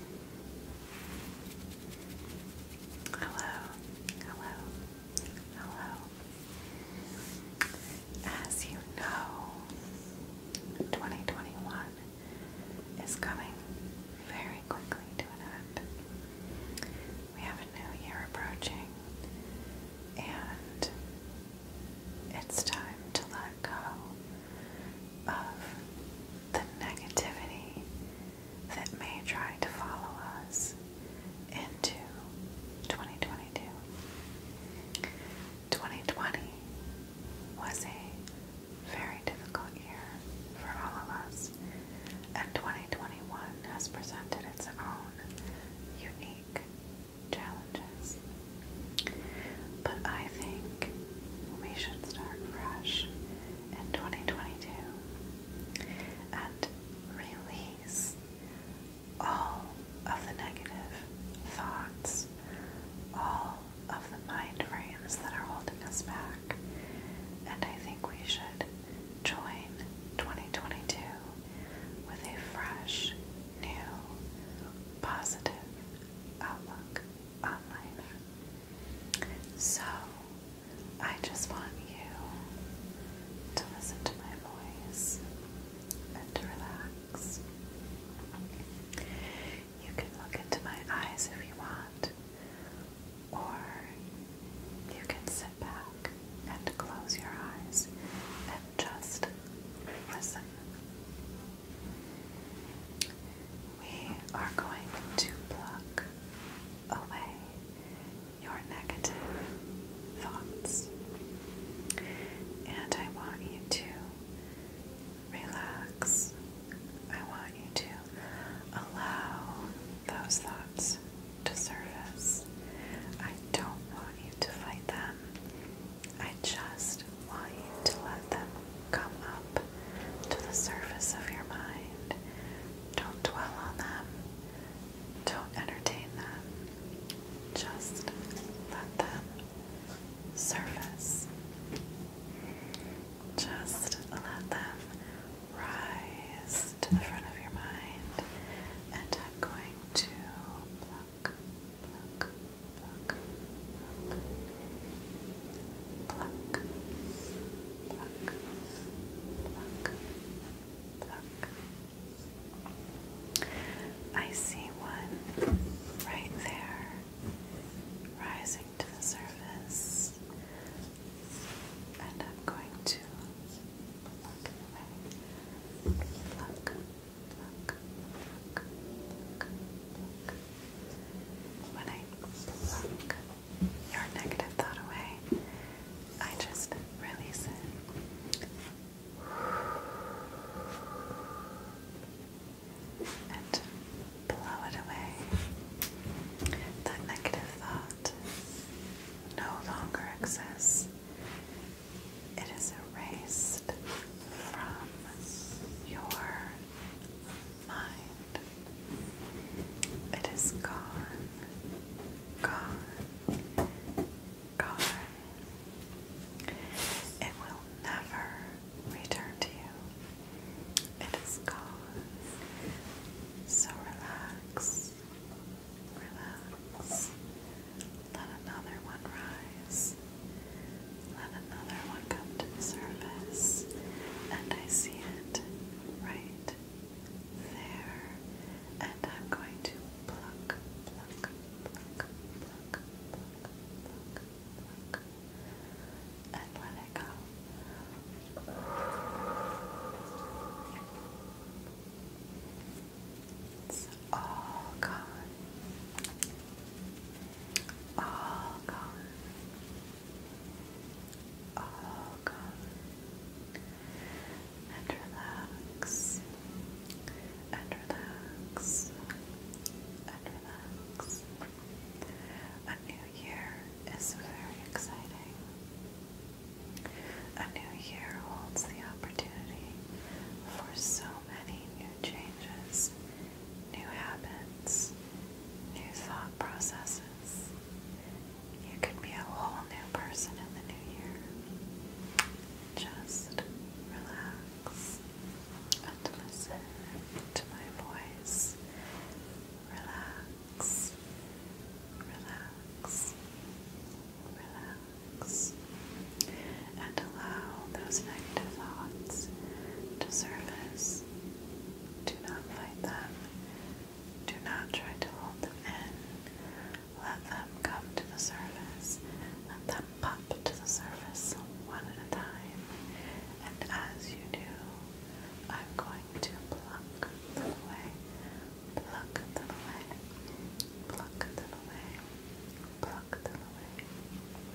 Hello, hello, hello. As you know, 2021 is coming very quickly to an end. We have a new year approaching, and it's time to let go of the negativity that may try to follow us into 2022. 2020 was a very difficult year for all of us, and 2021 has presented its own unique challenges. But I think we should start fresh in 2022 and release all of the negative thoughts, all of the mind frames that are holding us back. And I think we should join 2022 with a fresh, new, positive outlook on life. So, I just want you to listen to my voice and relax. You can look into my eyes if you want, or you can sit back and close your eyes and just listen. We are going to pluck away your negative thoughts. And I want you to relax. I want you to allow those thoughts to surface. I don't want you to fight them. I just want you to let them come up to the surface of your mind. Don't dwell on them, don't entertain them, just let them surface. Just let them rise to the front of your mind, and I'm going to block, pluck, pluck, pluck, pluck, pluck, pluck, pluck. I see one right there rising to the surface, and I'm going to pluck away. Pluck, pluck, pluck, pluck, pluck, pluck. When I pluck your negative thought away, I just release it. And blow it away. That negative thought no longer exists. It is erased from your mind. It is gone, gone, gone. It will never return to you. It is gone. So relax, relax. Let another one rise. Let another one come to surface, and I see it right there. And I'm going to pluck, pluck, pluck, pluck, pluck, pluck, pluck, and let it go. It's all gone all gone, all gone, relax, relax, relax. A new year is very exciting. A new year holds the opportunity for so many new changes, new habits, new thought processes. You could be a whole new person in the new year. Just relax and listen to my voice. Relax, relax, relax and allow those negative thoughts to surface. Do not fight them. Do not try to hold them in. Let them come to the surface. Let them pop to the surface one at a time. And as you do, I'm going to pluck them away. Pluck them away. Pluck them away. Pluck them away.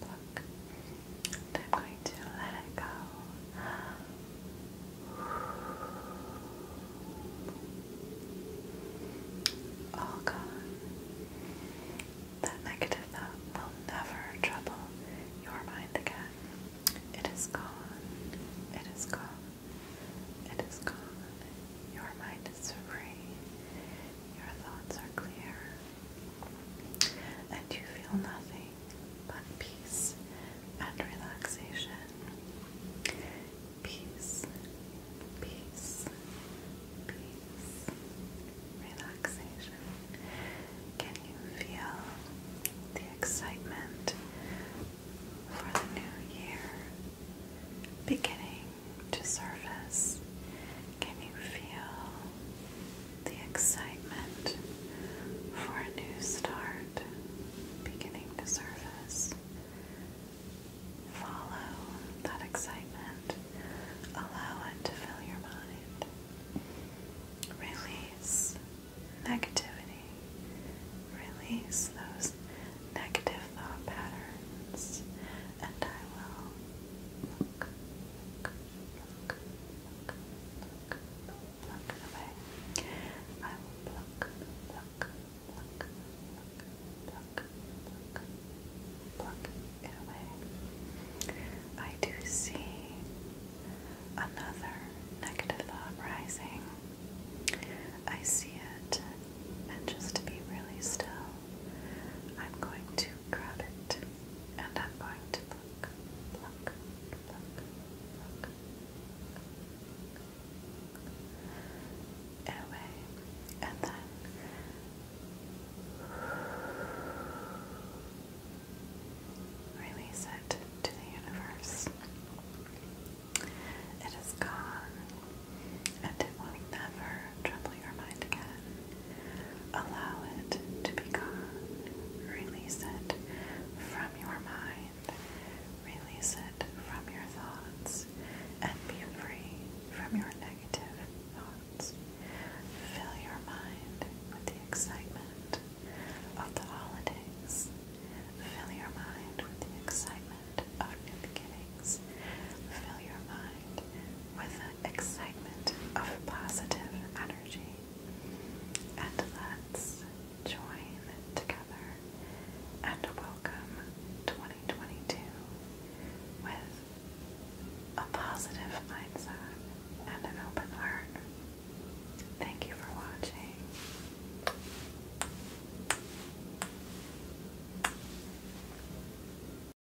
pluck. I'm going to let it go. All oh, gone. That negative thought will never trouble your mind again. It is gone. It is gone. It is gone. Your mind is free. Your thoughts are clear and you feel nothing but peace and relaxation. Peace, peace, peace, relaxation. Can you feel the excitement for the new year beginning to surface? Can you feel the excitement for a new start beginning to surface. Follow that excitement, allow it to fill your mind. Release negativity, release those negative thought patterns, and I will pluck, pluck, pluck, pluck away. I will pluck, pluck, pluck, pluck, pluck, pluck, pluck it away. I do see another negative thought rising. I see it, and just to be really still, I'm going to grab it and I'm going to pluck, pluck, pluck, pluck, pluck away, and then release it to the universe. It is gone, and it will never trouble your mind again. Allow it to be gone. Release it from your mind. Release it from your thoughts. And be free from your negative thoughts. Fill your mind with the excitement of the holidays. Fill your mind with the excitement of new beginnings. Fill your mind with excitement of positive energy. And let's join together and welcome 2022 with a positive mindset and an open heart. Thank you for watching.